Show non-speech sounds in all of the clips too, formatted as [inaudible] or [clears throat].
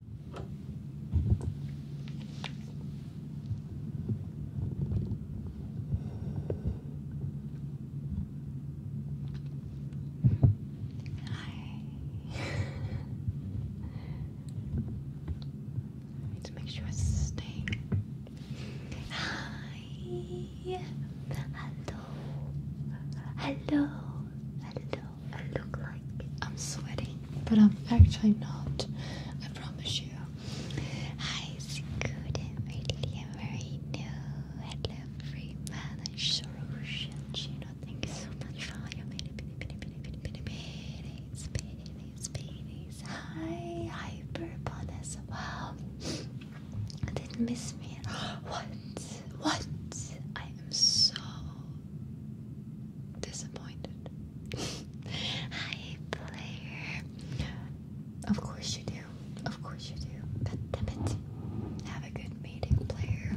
Hi. [laughs] I need to make sure I stay. Hi. Hello. Hello. Hello. I look like I'm sweating, but I'm actually not. I promise you. Hi, Sikudin, Radilia, very new. Hello, free man, and Shorosh, and Chino. so much for all your many, many, many, many, many, many, babies, babies. Hi, Hyperbonus. Wow. I didn't miss me. [gasps] What? What? I am so disappointed. Hi, player. Of course you do. Of course you do. God damn Have a good meeting, player.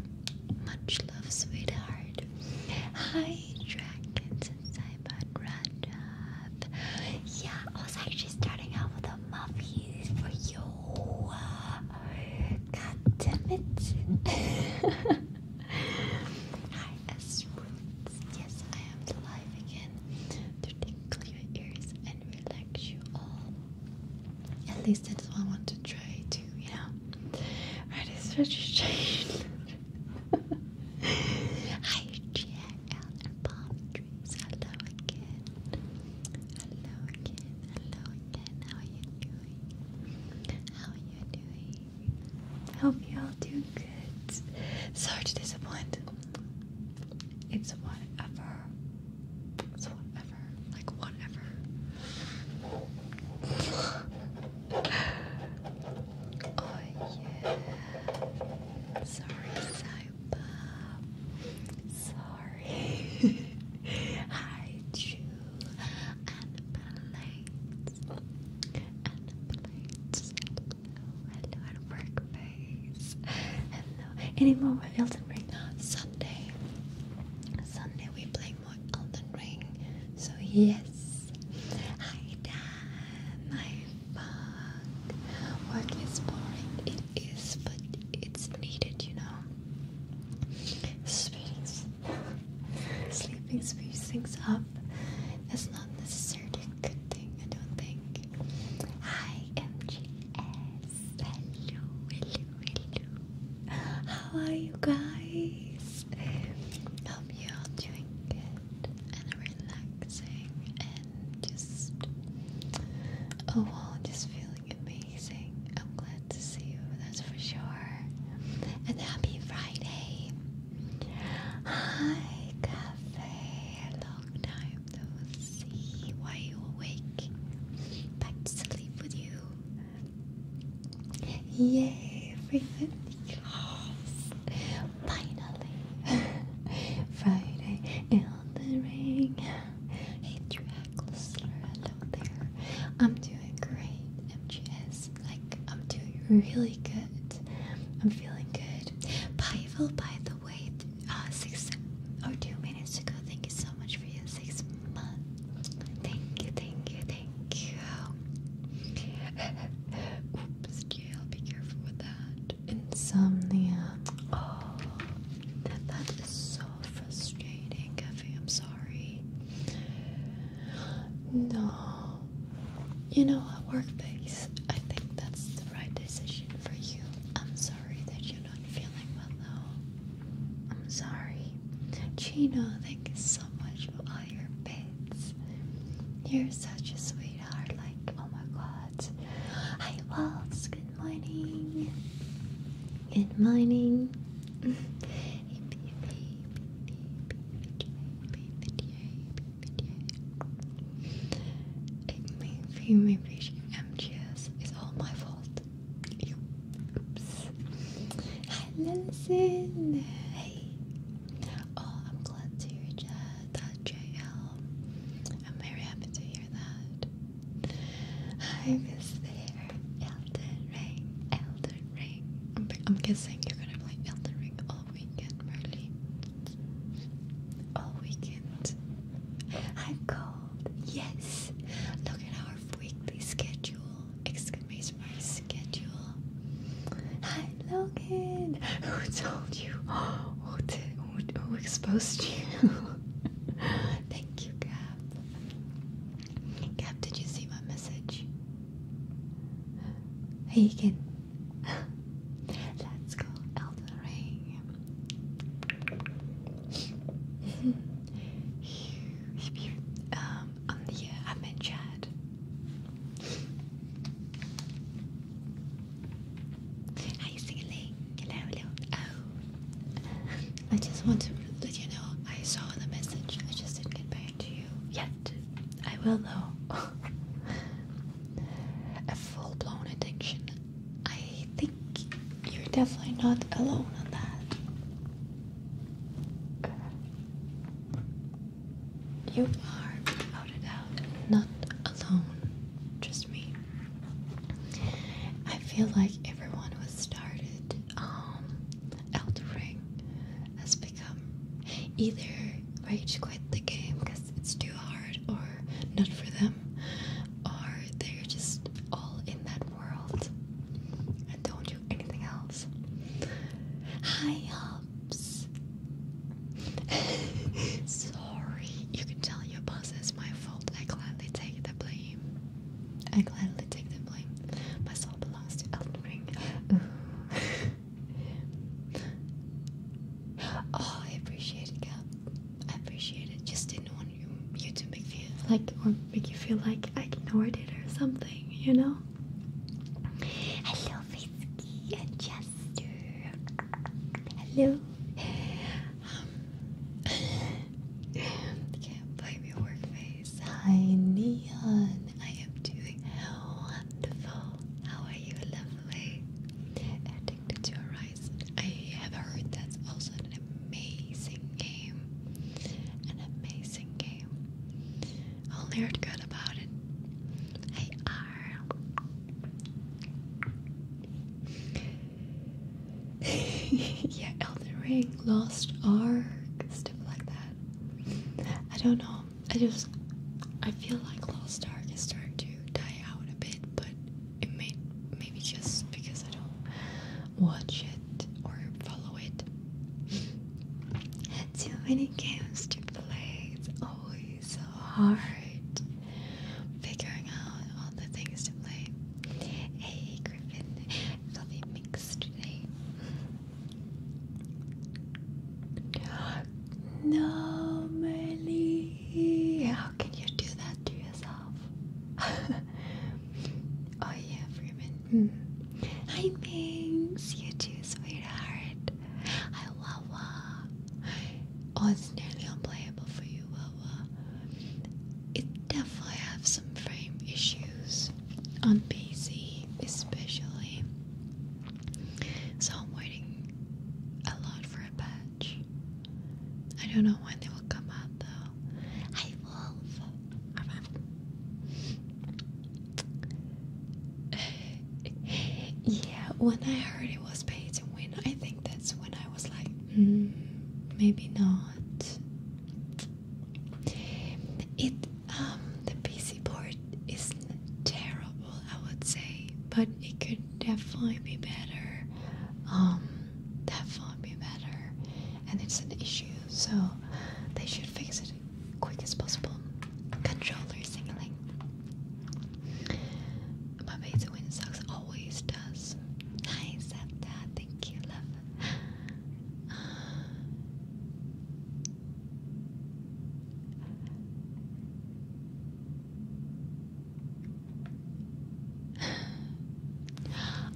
Much love, sweetheart. Hi, dragons and Simon Rajab. Yeah, I was actually starting out with a muffies for you. God damn [laughs] Hi, S Yes, I am live again to tickle your ears and relax you all. At least that's what I want to try to, you know. Alright, it's registration. [laughs] Hi, GL and palm trees. Hello again. Hello again. Hello again. How are you doing? How are you doing? I hope you all do good. Sorry to disappoint. It's whatever. It's whatever. Like whatever. oh yeah. Sorry, Saiba. Sorry. [laughs] Hi, Drew plates and plates. Hello, hello, work face. Hello. Any more Elden Ring? Sunday. Sunday we play more Elden Ring. So yes. Hi Dan. My fuck. Work is boring. It is, but it's needed, you know. Space. Sleeping speeds things up. It's not necessarily a good thing, I don't think. Hi, MGS. Hello, hello, hello. How are you guys? Hope you're doing good and relaxing and just. Oh, just feeling amazing. I'm glad let's see, that's for sure. And happy Friday. Hi, Cafe. Long time no see. Why you awake? Back to sleep with you. Yay, frequent. Yes. Finally. [laughs] Friday in the ring. Hey, Dracula, hello there. I'm doing great, MGS. Like, I'm doing really good. I'm feeling good. Pavel, by the way, uh, six or oh, two minutes ago. Thank you so much for your six months. Thank you, thank you, thank you. [laughs] Oops, Gail, be careful with that. Insomnia. Oh, that is so frustrating, I'm sorry. No. You know what, workplace? I think that's the right decision for you. I'm sorry that you're not feeling well though. I'm sorry. Chino, thank you so much for all your bits. You're such a sweetheart, like oh my god. Hi Waltz, good morning. Good morning. [laughs] Maybe, maybe MGS is all my fault. Oops. Hi, Listen. Hey. Oh, I'm glad to hear that, JL. I'm very happy to hear that. I miss Elden Ring. Elden Ring. I'm, guessing you're gonna play Elden Ring all weekend, Marley. All weekend. I'm cold. Yes. Look at our weekly schedule. Excuse my schedule. I Hi, Logan. Who told you? [gasps] Who Who, exposed you? [laughs] Thank you, Gab. Gab, did you see my message? Hey, again. [laughs] Let's go, Elden Ring. [laughs] um, um, yeah, I'm in chat. Hi, Singling. Hello, hello. Oh, [laughs] I just want to let you know I saw the message. I just didn't get back to you yet. I will know. A full blown addiction. I think you're definitely not alone on that. You are, without a doubt, not alone. Just me. I feel like everyone who started um, Elder Ring become either rage quit the game because it's too hard or not for them, or they're just all in that world and don't do anything else. Hi, Hobbs. [laughs] Sorry, you can tell your boss it's my fault. I gladly take the blame. I gladly take the blame. My soul belongs to Elden Ring. [laughs] oh, I appreciate it, Cap. I appreciate it. Just didn't want you, to make feel like or make you feel like I ignored it or something, you know? Hello, Fisky and Chester. Hello. can't blame your work, Hi, Neon. I am doing wonderful. How are you, lovely? Addicted to Horizon. I have heard that's also an amazing game. An amazing game. Only heard good about it. Hey, R. [laughs] yeah, Elden Ring, Lost Ark, stuff like that. I don't know I just I feel like Lost Ark is starting to die out a bit, but it may maybe just because I don't watch it or follow it. Too many games to play. It's always so hard figuring out all the things to play. Hey Griffin, fluffy mix today. No, Melly. How can you do that to yourself? [laughs] oh, yeah, Freeman. Hmm. Hi, Banks. You too, sweetheart. Hi, Wawa. Oh, it's nearly unplayable for you, Wawa. It definitely have some frame issues on PC especially. So I'm waiting a lot for a patch. I don't know when they will come out though. Hi Wolf! [sighs] yeah, when I heard it was pay to win, I think that's when I was like, hmm, maybe not. It um, the PC port is terrible, I would say, but it could definitely be better. Um, definitely be better, and it's an issue, so they should fix it quick as possible. Controller signaling. My beta win sucks always does. Nice at that. Thank you, love. Uh,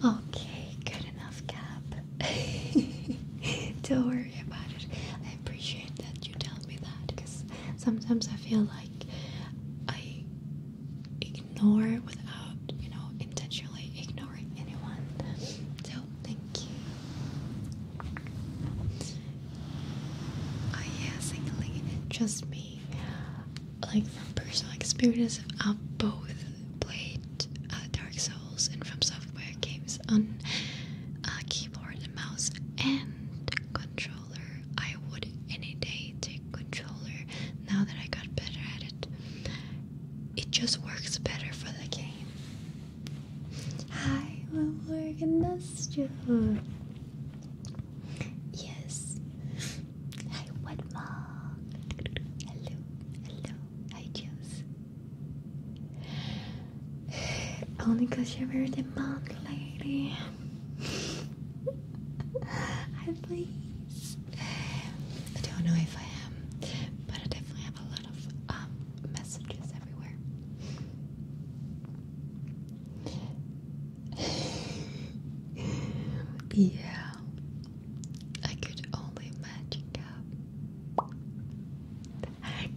Okay, good enough, Cap. [laughs] Don't worry about it. I appreciate that you tell me that because sometimes I feel like I ignore without, you know, intentionally ignoring anyone. So thank you. Oh yeah, singling. Trust me, like from personal experience, i both played uh, Dark Souls and From Software games on uh, keyboard and mouse and controller. I would any day take controller now that I got better at it. It just works better for the game. I will work in the store. Yes. I want more. Hello, hello. I choose. Only because you're very demanding, lady. I please. I don't know if I am, but I definitely have a lot of um messages [laughs] yeah, I could only imagine. up.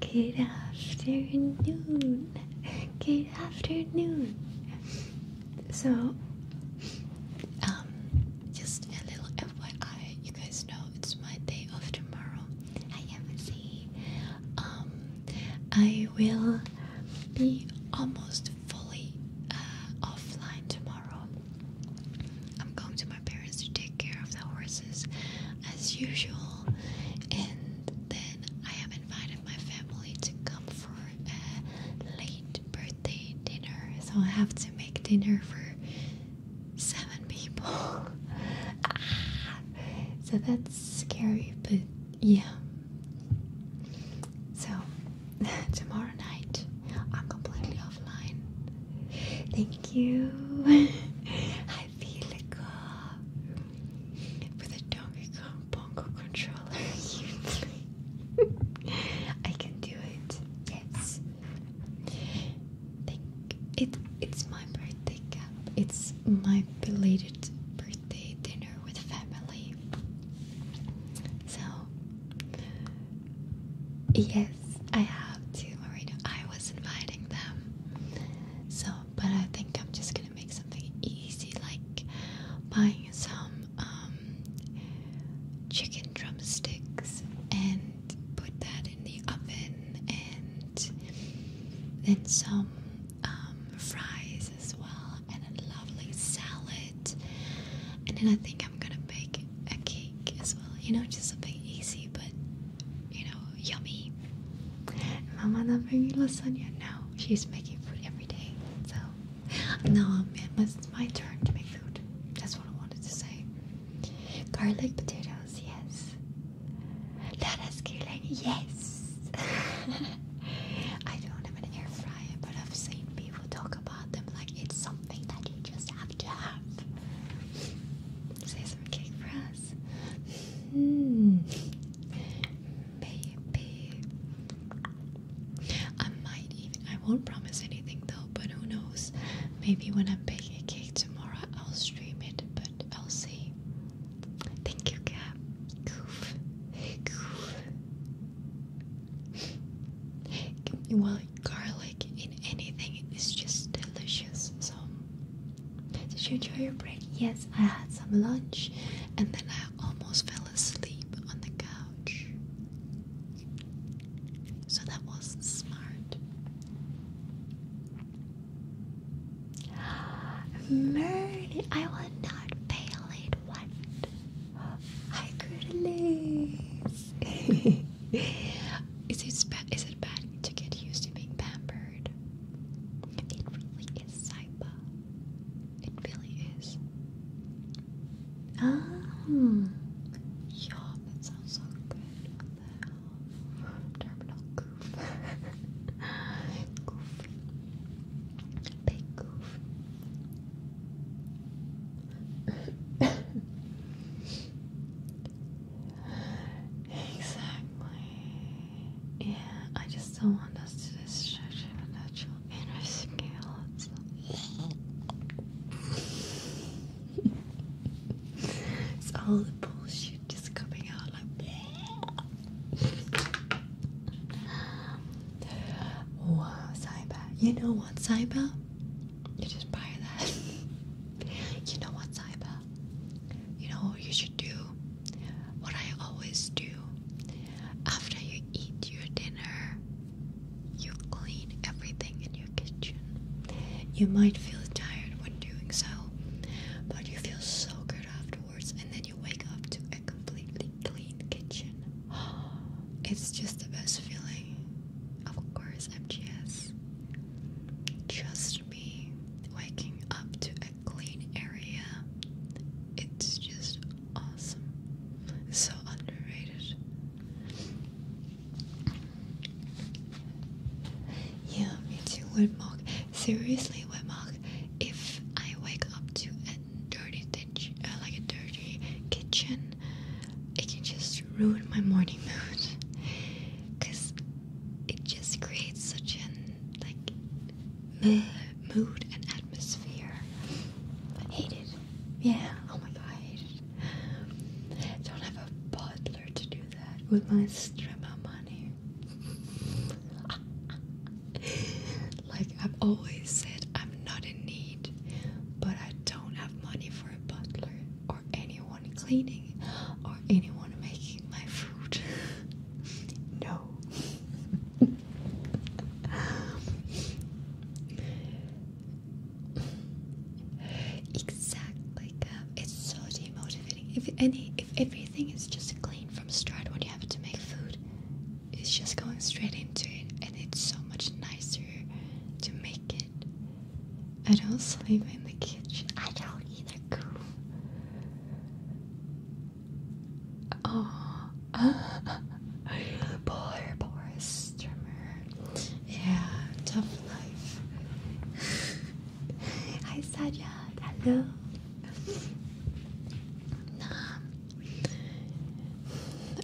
Good afternoon. Good afternoon. So, um, just a little FYI, you guys know it's my day of tomorrow. I am see. Um, I will be almost fully uh, offline tomorrow. I'm going to my parents to take care of the horses as usual, and then I have invited my family to come for a late birthday dinner. So I have to make dinner for seven people. Ah, so that's scary, but yeah. So [laughs] tomorrow night I'm completely offline. Thank you. I feel like with a Donkey Kong Bongo controller. I [laughs] can do it. Yes. Thank it. It's my birthday It's my belated birthday dinner with family. So yes, I have to. Marina. I was inviting them. So, but I think I'm just gonna make something easy, like buying some um, chicken drumsticks and put that in the oven and then some um, fries as well and a lovely salad and then I think I'm gonna bake a cake as well you know just something easy but you know yummy mama not bringing lasagna No, she's making food every day so no man it's my turn to make food that's what I wanted to say garlic potatoes yes let us it. yes! [laughs] I don't have an air fryer, but I've seen people talk about them like it's something that you just have to have. Say some cake for us. Mm. Maybe. I might I won't promise anything though, but who knows? Maybe when I bake a cake tomorrow, I'll stream it but I'll see. Thank you, Cap. well, garlic in anything is just delicious. So, did you enjoy your break? Yes, I had some lunch and then I almost fell asleep on the couch. So that was smart. Murder, I will not fail it one. I could lace. [laughs] is it bad? Is it bad to get used to being pampered? It really is, Saiba. It really is. Ah, hmm. yeah, that sounds so good terminal goof. Goofy. Big goof. exactly. Yeah, I just don't want us to distract from the natural inner scales. it's all the bullshit just coming out like. wow, Saiba. You know what, Saiba? You just buy that. [laughs] you know what, Saiba? You know what you should do? What I always do. After you eat your dinner, you clean everything in your kitchen. You might feel tired when doing so, but you feel so good afterwards, and then you wake up to a completely clean kitchen. [gasps] It's just the best feeling. Of course, MGS. Trust me, waking up to a clean area, it's just awesome. So underrated. Yeah, me too, wet mug. Seriously, wet If I wake up to a dirty ditch, uh, like a dirty kitchen, it can just ruin my morning mood. Cause it just creates such an like mood and atmosphere. I hate it. Yeah. Oh my god, I hate it. don't have a butler to do that with my strep like I've always said, I'm not in need, but I don't have money for a butler or anyone cleaning or anyone making my food. [laughs] no. [laughs] exactly. It's so demotivating. If any, if everything is just clean from start when you have to make food, it's just going straight into it, and it's so much nicer to make it. I don't sleep in the kitchen. I don't either. Cool. Oh, [laughs] poor, poor streamer. Yeah, tough life. Hi Sajad, hello. Nah,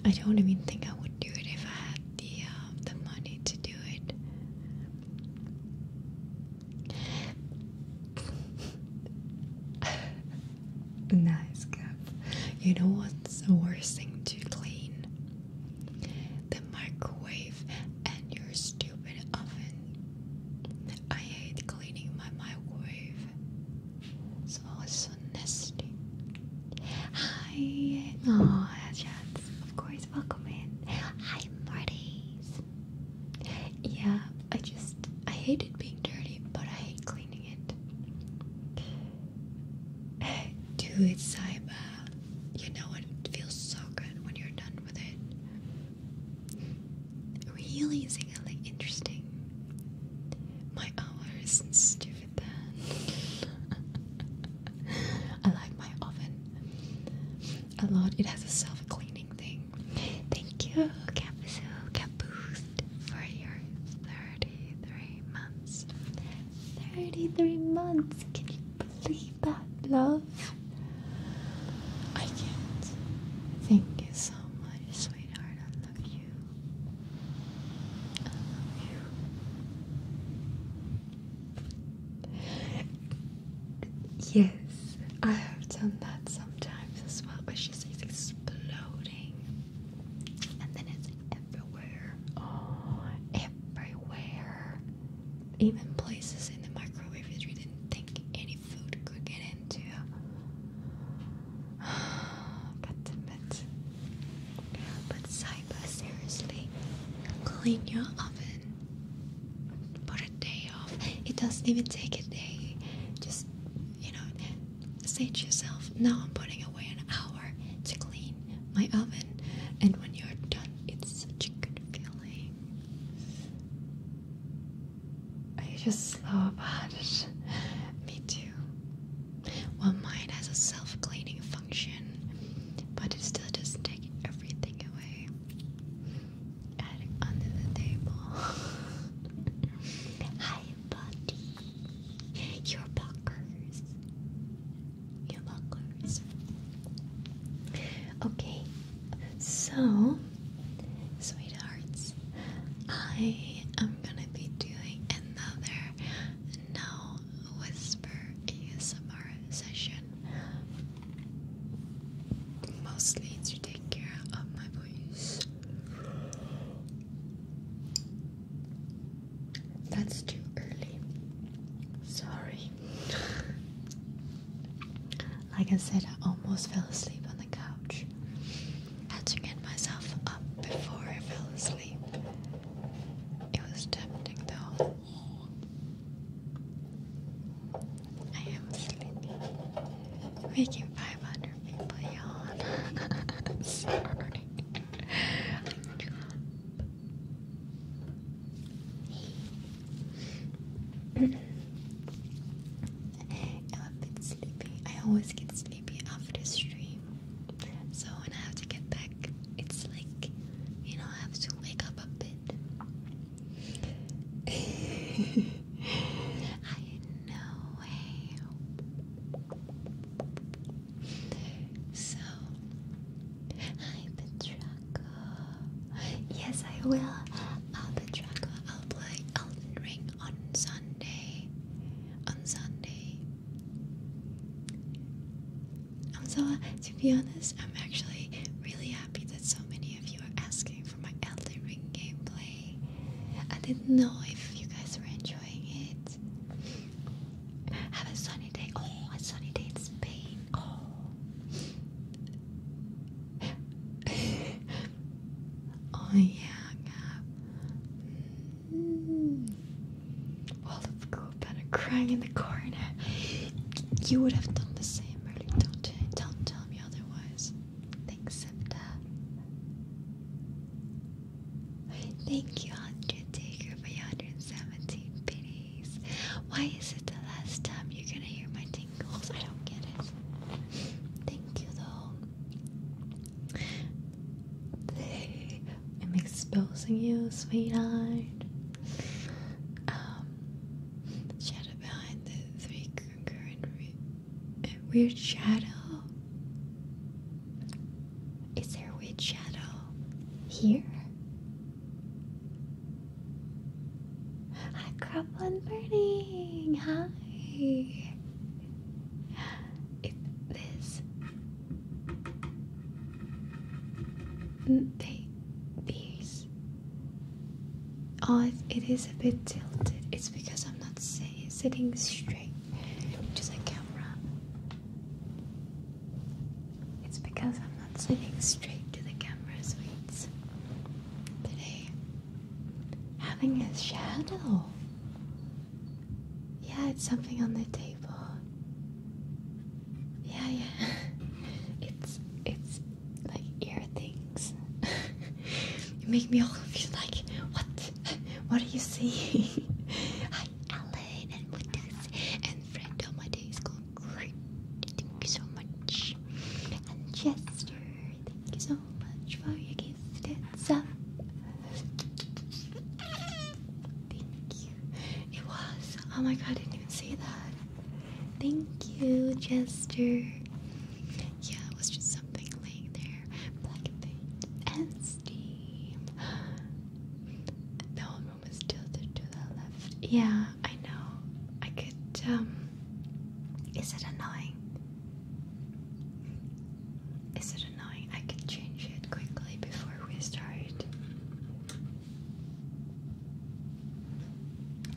I don't even think I would do it if I had the um, the money to do it. nice cup. You know what's the worst thing to clean? The microwave and your stupid oven. I hate cleaning my microwave. It's always so nasty. Hi. Oh, chats. Of course, welcome in. Hi, Marty's. Yeah, I just I hated being dirty, but I hate cleaning it. [sighs] Dude, Saiba. You know it feels so good when you're done with it. Really is like interesting. My hour isn't stupid then. [laughs] I like my oven a lot. It has a self-cleaning thing. Thank you, Capiso Capoost, for your 33 months. 33 months. you Leave that love. I can't. Thank you so much, sweetheart. I love you. I love you. Yes, I have done that sometimes as well, but she says exploding. And then it's everywhere. Oh, everywhere even places in the microwave that you didn't think any food could get into. God [sighs] damn But Saiba, seriously, clean your oven. Put a day off. It doesn't even take a day. Just, you know, say to yourself, now I'm putting away an hour to clean my oven. And when you're done, it's such a good feeling. Are you just slow about it? Me too. Well, mine has a self-cleaning function, but it still doesn't take everything away. under the table. [laughs] Hi, buddy. Your buckers. Your buckers. Okay, so, sweethearts, I am gonna be doing another No Whisper ASMR session. Mostly to take care of my voice. That's too early. Sorry. Like I said, I almost fell asleep on the couch. I had to get myself up before I fell asleep. It was tempting though. I am sleepy. Making 500 people yawn. [laughs] [laughs] I'm a bit sleepy. I always get sleepy after stream. So when I have to get back, it's like, you know, I have to wake up a bit. [laughs] I know. Hey. So, hi Petra. Yes, I will. I'll be Draco. I'll play Elden Ring on Sunday. On Sunday. Um, so, to be honest, I'm actually really happy that so many of you are asking for my Elden Ring gameplay. I didn't know if you guys were enjoying it. Have a sunny day. Oh, a sunny day in Spain. Oh oh yeah, Well, if you had crying in the corner, you would have done the same, really. Don't don't tell me otherwise. Thanks, Sipta. Thank you, Andrea Taker, for 117 pities. Why is it the last time you're gonna hear my I don't get it. Thank you, though. They, I'm exposing you, sweetheart. Um, shadow behind the three concurrent uh, weird shadow. Is there weird shadow here? I crop Crabland Burning! Hi! It, mm, these. Oh, it is a bit tilted. It's because I'm not say, sitting straight, which a camera. It's because I'm not not sitting straight to the camera, sweets. Today, having a shadow. Yeah, it's something on the table. Yeah, yeah. [laughs] It's it's like ear things. [laughs] you make me all feel like what? [laughs] What are you seeing? Hi, Alan and Windows and friend my day school great. Thank you so much. And Chester, thank you so much for your gift. It's up. Thank you. It was. Oh my god, I didn't even see that. Thank you, Chester. Yeah, it was just something laying there. Black thing and steam. The whole room is tilted to the left. Yeah, I know. I could, um, Is it annoying? Is it annoying? I could change it quickly before we start.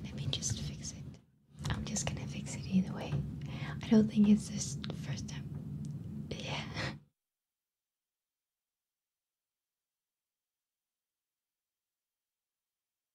Let me just fix it. I'm just gonna fix it either way. I don't think it's this first time. Yeah.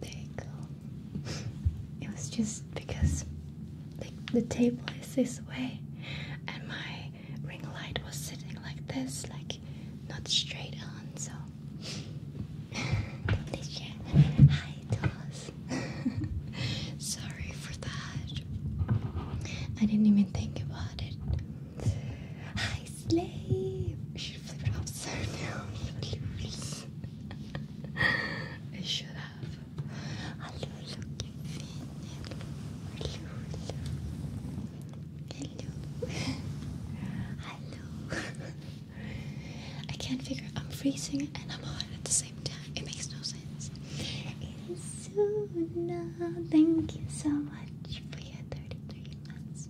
There you go. It was just because the table is this way and my ring light was sitting like this, like not straight on, so Hi, Toss. [laughs] Sorry for that. I didn't even think about it. Hi, Slave. She flipped it upside down. [laughs] I should have. Hello, look at Hello, Hello. [laughs] Hello. [laughs] I can't figure I'm freezing and I'm hot at the same time. It makes no sense. Isuna, thank you so much for your 33 months.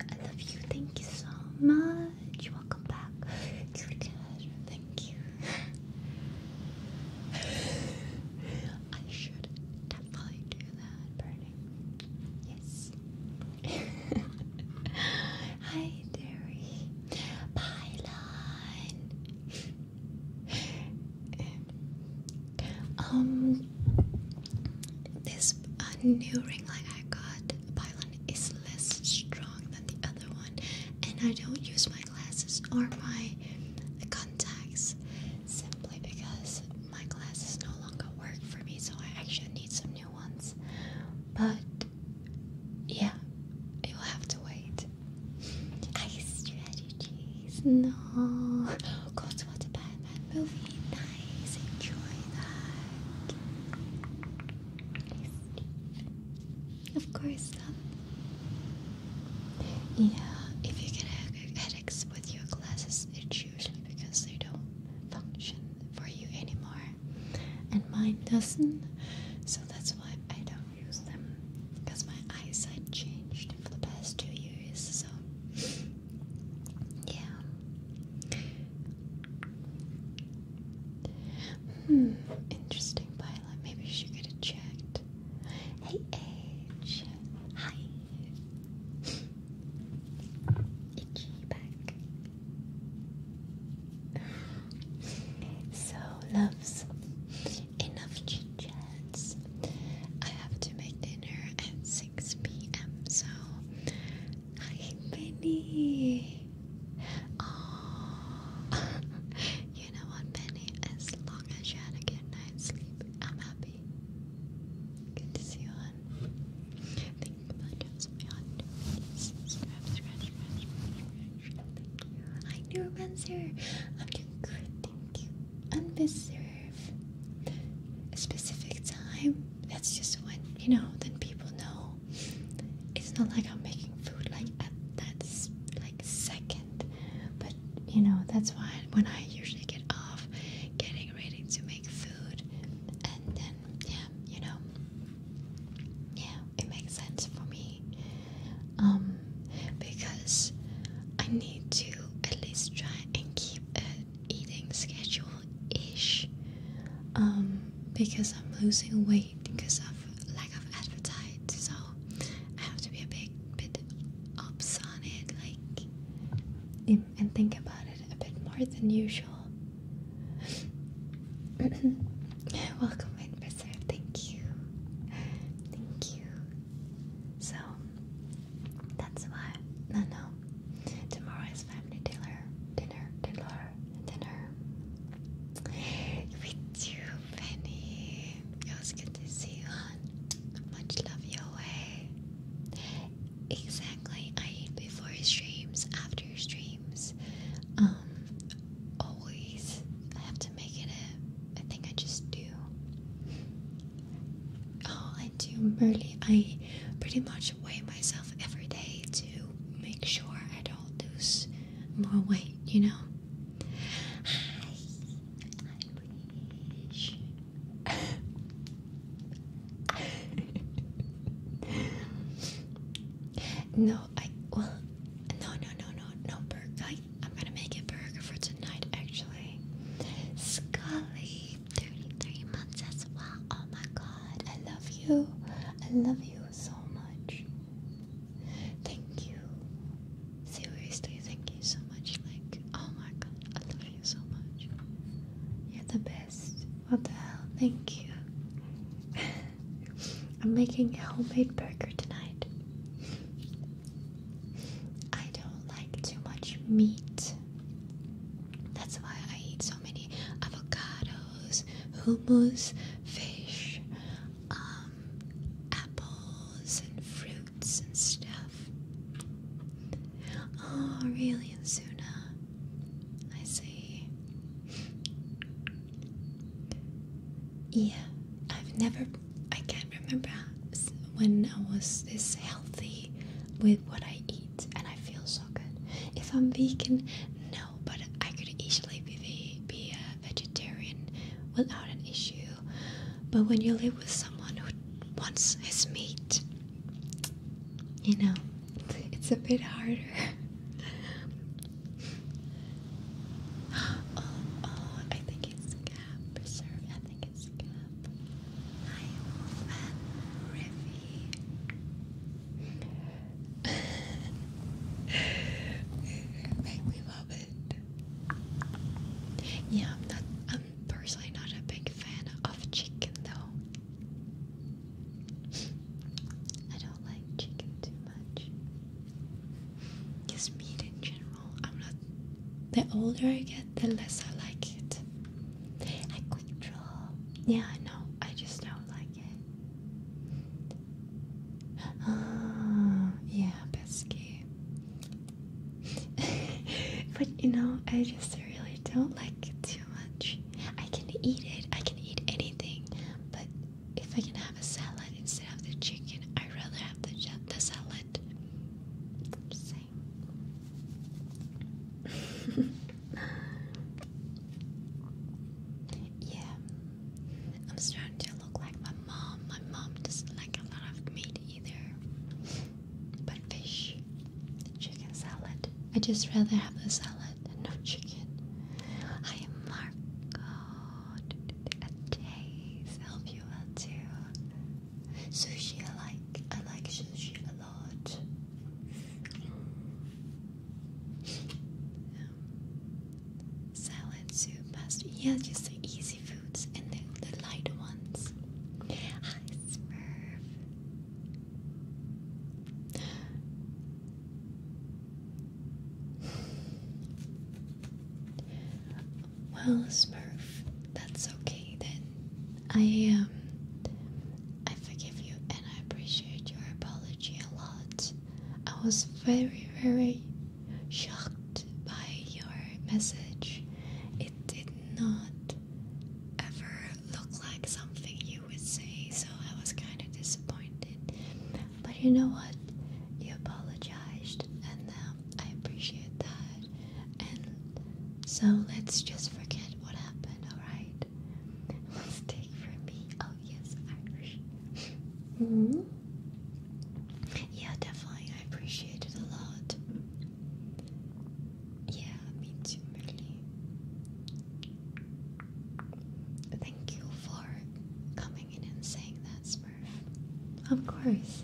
I love you. Thank you so much. Welcome back. Thank you. [sighs] I should definitely do that burning. [laughs] Hi, Derry. Pylon. um, this uh, new ring light I got, Pylon, is less strong than the other one, and I don't use my glasses or my contacts simply because my glasses no longer work for me, so I actually need some new ones. But yeah, you'll have to wait. Ice strategies, no. [gasps] Go to the Batman movie. Nice, enjoy that. Of course, um, yeah. If you get headaches with your glasses, it usually because they don't function for you anymore, and mine doesn't, so that's why I don't use them because my eyesight changed for the past two years, so yeah. Hmm, interesting pilot. Maybe she should get checked. Hey, Age. Hi. Itchy back. so, loves, enough chit I have to make dinner at 6 pm, so. Hi, Penny. Oh, [laughs] you know what, Penny? As long as you had a good night's sleep, I'm happy. Good to see you, hon. Thank you for my hot Scratch, scratch, scratch, scratch. Thank you. Hi, Neuromancer. I'm doing good, thank you. Undeserve. A specific time. That's just when, you know, then people know. It's not like I'm making food like at that like second. But you know, that's why when I usually get off getting ready to make food and then yeah, you know, yeah, it makes sense for me, um, because I need to at least try and keep an eating schedule ish, um, because I'm losing weight because of lack of appetite, so I have to be a big bit ups on it, like and think about it a bit more than usual. [clears throat] Welcome, Professor. Thank you. Thank you. So, that's why. No, no. Tomorrow is family dinner. Dinner, dinner, dinner. With you, Penny. It good to see you on. Much love your way. Exactly. I eat before streams, after streams. Um, always. I have to make it a thing. I just do. Oh, I do barely. I pretty much weigh myself every day to make sure I don't lose more weight. You know no, I well, no, no, no, no, no burger. I, am gonna make a burger for tonight, actually. Scully, 33 months as well. Oh my god, I love you. I love you so much. Thank you. Seriously, thank you so much. Like, oh my god, I love you so much. You're the best. What the hell? Thank you. [laughs] I'm making a homemade burger tonight. I don't like too much meat. That's why I eat so many avocados, hummus, fish, um, apples, and fruits and stuff. Oh, really? Suna. I see. Yeah, I've never, I can't remember when I was this healthy with what I eat and I feel so good. If I'm vegan, no, but I could easily be a vegetarian without an issue. But when you live with someone who wants his meat, you know, it's a bit harder. [laughs] Oh, oh, oh, I think it's Cap I think it's Cap. Hi, Wolf and Riffy. [laughs] Make me love it. Yeah, I'm not. personally not a big fan of chicken, though. I don't like chicken too much. Just meat in general. I'm not. The older I get, the less I like it. I could draw. Yeah, I know. I just don't like it. Ah, yeah, pesky. [laughs] but you know, I just really don't like it much. I can eat it, I can eat anything, but if I can have a salad instead of the chicken, I'd rather have the, the salad. Just [laughs] yeah, I'm starting to look like my mom. My mom doesn't like a lot of meat either. But fish, chicken salad. I just rather have the salad and no chicken. I am Marco. A taste. Help you out too. Sushi, I like. I like sushi a lot. Um, salad, soup, pasta. Yeah, just the easy foods and the, the light ones. Hi, Smurf. Well, Smurf, that's okay then. I um I forgive you and I appreciate your apology a lot. I was very, very shocked by your message. It did not ever Look like something you would say, so I was kind of disappointed. But you know what? You apologized, and now um, I appreciate that. And so let's just forget what happened, alright? [laughs] Mistake for me. Oh, yes, Irish. [laughs] -hmm. Yeah, definitely. I appreciate a lot. Yeah, me too, Merly. Thank you for coming in and saying that, Smurf. Of course.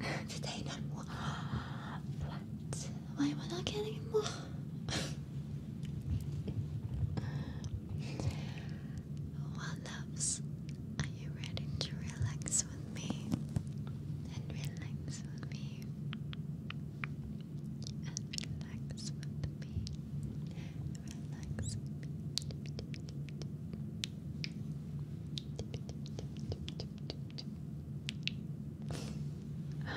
[laughs] Today, not more. [gasps] What? Why not getting more? [laughs] well, loves, are you ready to relax with me? And relax with me and relax with me. Relax with me. Let's relax now.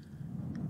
Sorry, my bad.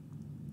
Have a good day.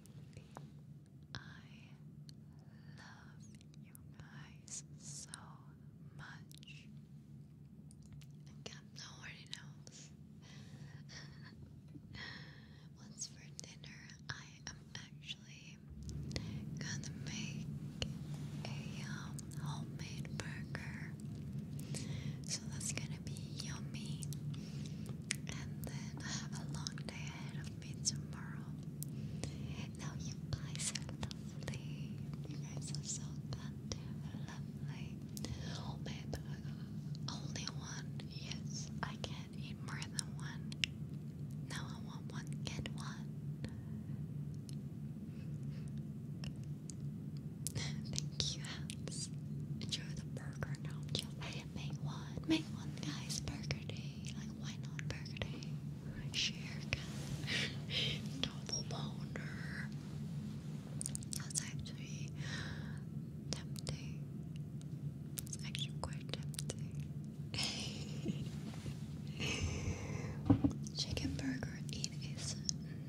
I love you guys so much. nobody else. What's for dinner? I am actually gonna make a homemade burger. So that's gonna be yummy. And then I have a long day ahead of me tomorrow. Now, you guys are lovely. You guys are so goddamn lovely. Oh, babe, only one. Yes, I can't eat more than one. Now I want one, get one. [laughs] Thank you, Enjoy the burger now you make one, make one guys burger day. Like why not burger day? Sharecut. Double pounder. That's actually tempting. It's actually quite tempting. chicken burger. It is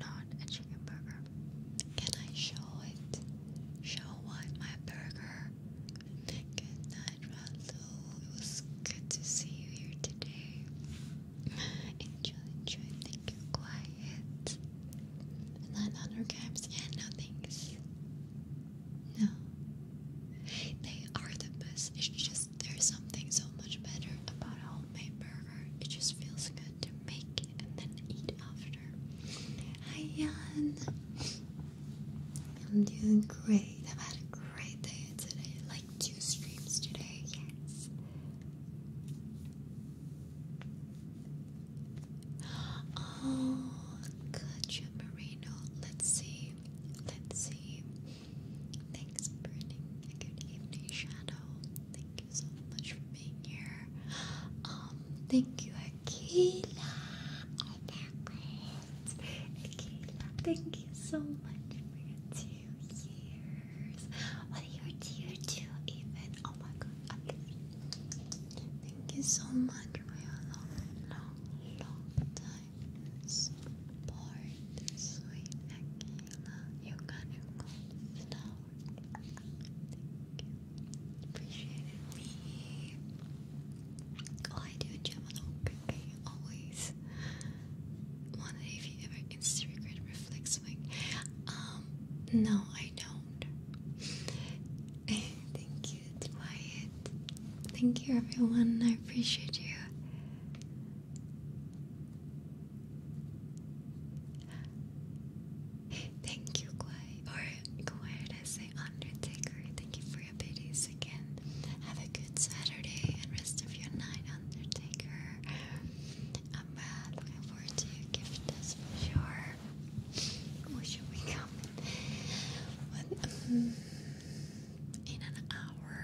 not a chicken burger. Can I show show it. Show what my burger. Good night, Randall. It was good to see you here today. Enjoy, enjoy. Thank you. Quiet. And then Yeah, no thanks. No. They are the best. It's just there's something so much better about a homemade burger. It just feels good to make and then eat after. Hi, Jan. I'm doing great. I've had a great day today. Like two streams today. Oh, gotcha, Let's see. Let's see. Thanks for good evening, Shadow. Thank you so much for being here. Um, thank you, Akila. Akila, oh, thank you so much for your two years. are oh, your tier two even? Oh my god. Thank you so much for your long, long, long time support. Sweet Akila. You got your gold Appreciate Me. Oh, I do a Gemini. always wonder if you ever Instagram reflex swing. Um, no, I don't. [laughs] Thank you, Dwight. Thank you, everyone. I appreciate you. Thank you, Guai. Or Guai, I say Undertaker. Thank you for your biddies again. Have a good Saturday and rest of your night, Undertaker. I'm uh, looking forward to your gift, that's for sure. What should we come in? Um, an hour.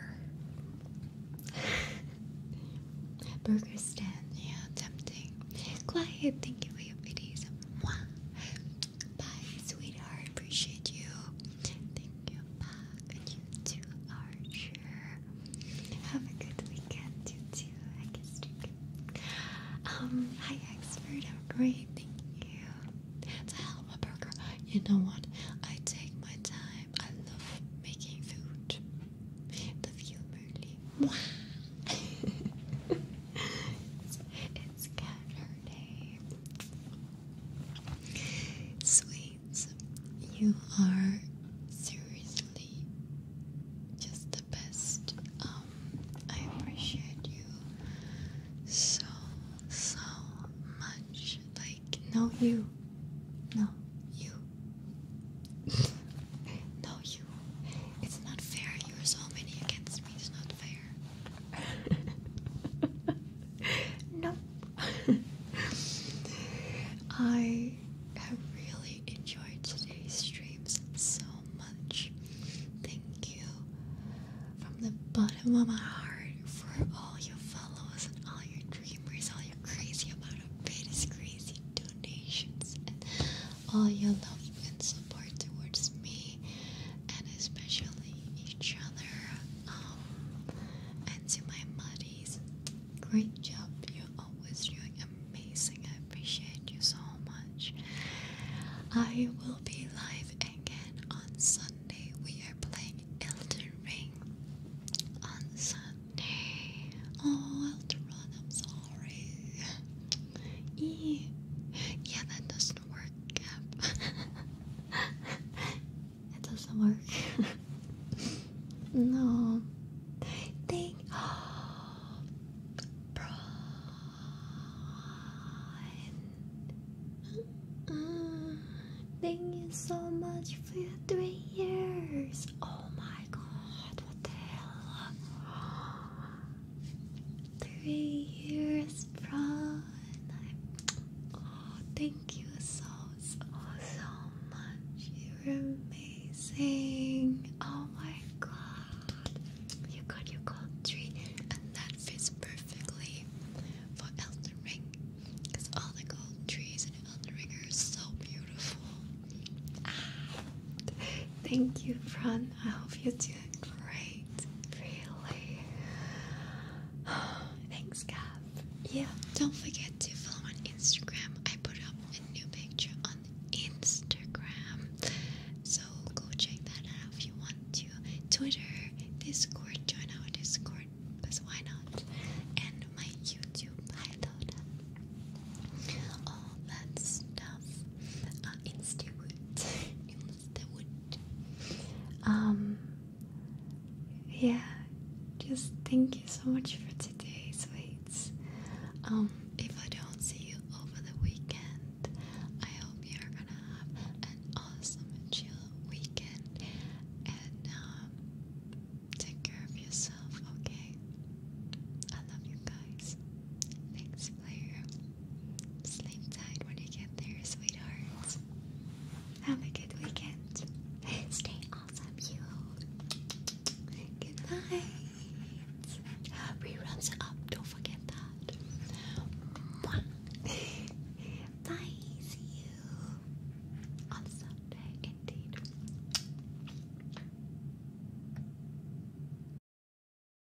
[laughs] Burger stand, yeah, tempting. Quiet, thank you for your videos. Mwah. Bye, sweetheart. Appreciate you. Thank you, And you too, Archer. Have a good weekend, you too. I guess Um, hi, expert. I'm great. Thank you. It's a hell burger. You know what? I take my time. I love making food. The view, Merly. [laughs] it's, Saturday. Sweets, you are seriously just the best. Um, I appreciate you so, so much. Like, no, you. No, you. [laughs] no, you. It's not fair. You are so many against me. It's not fair. [laughs] no. I have really enjoyed today's streams so much. Thank you from the bottom of my heart for all your followers and all your dreamers, all your crazy about a bits, crazy donations, and all your love and support towards me and especially each other um, and to my buddies. Great job, you're always doing amazing. I appreciate you so much. I will be live again on Sunday. We are playing Elden Ring on Sunday. Oh, Elden Ring, I'm sorry. Eee. Yeah, that doesn't work, [laughs] it doesn't work. [laughs] no. Thank. Oh, [gasps] thank you so much for your three years. Oh my god, what the hell? three years, Prawn. Oh, thank you so, so, so much. You're amazing. Oh my god. You got your gold tree, and that fits perfectly for Elden Ring. Because all the golden trees in Elden Ring are so beautiful. Ah. thank you, Fran, I hope you're doing great, really. [sighs] Thanks, Gab. Yeah, don't forget to follow on Instagram. I put up a new picture on Instagram, so go check that out if you want to. Twitter, Discord, join our Discord, because why not? And my YouTube, hideout, all that stuff. Uh, Instagram, [laughs] the wood. Um, yeah, just thank you so much for today, sweets. Um, if I don't see you over the weekend, I hope you're gonna have an awesome chill weekend. And um, take care of yourself, okay? I love you guys. Thanks, player. Sleep tight when you get there, sweetheart. Have a good weekend. [laughs] Stay awesome, you. Good night. Reruns up, don't forget that. Mwah. [laughs] Bye, you on Sunday, indeed.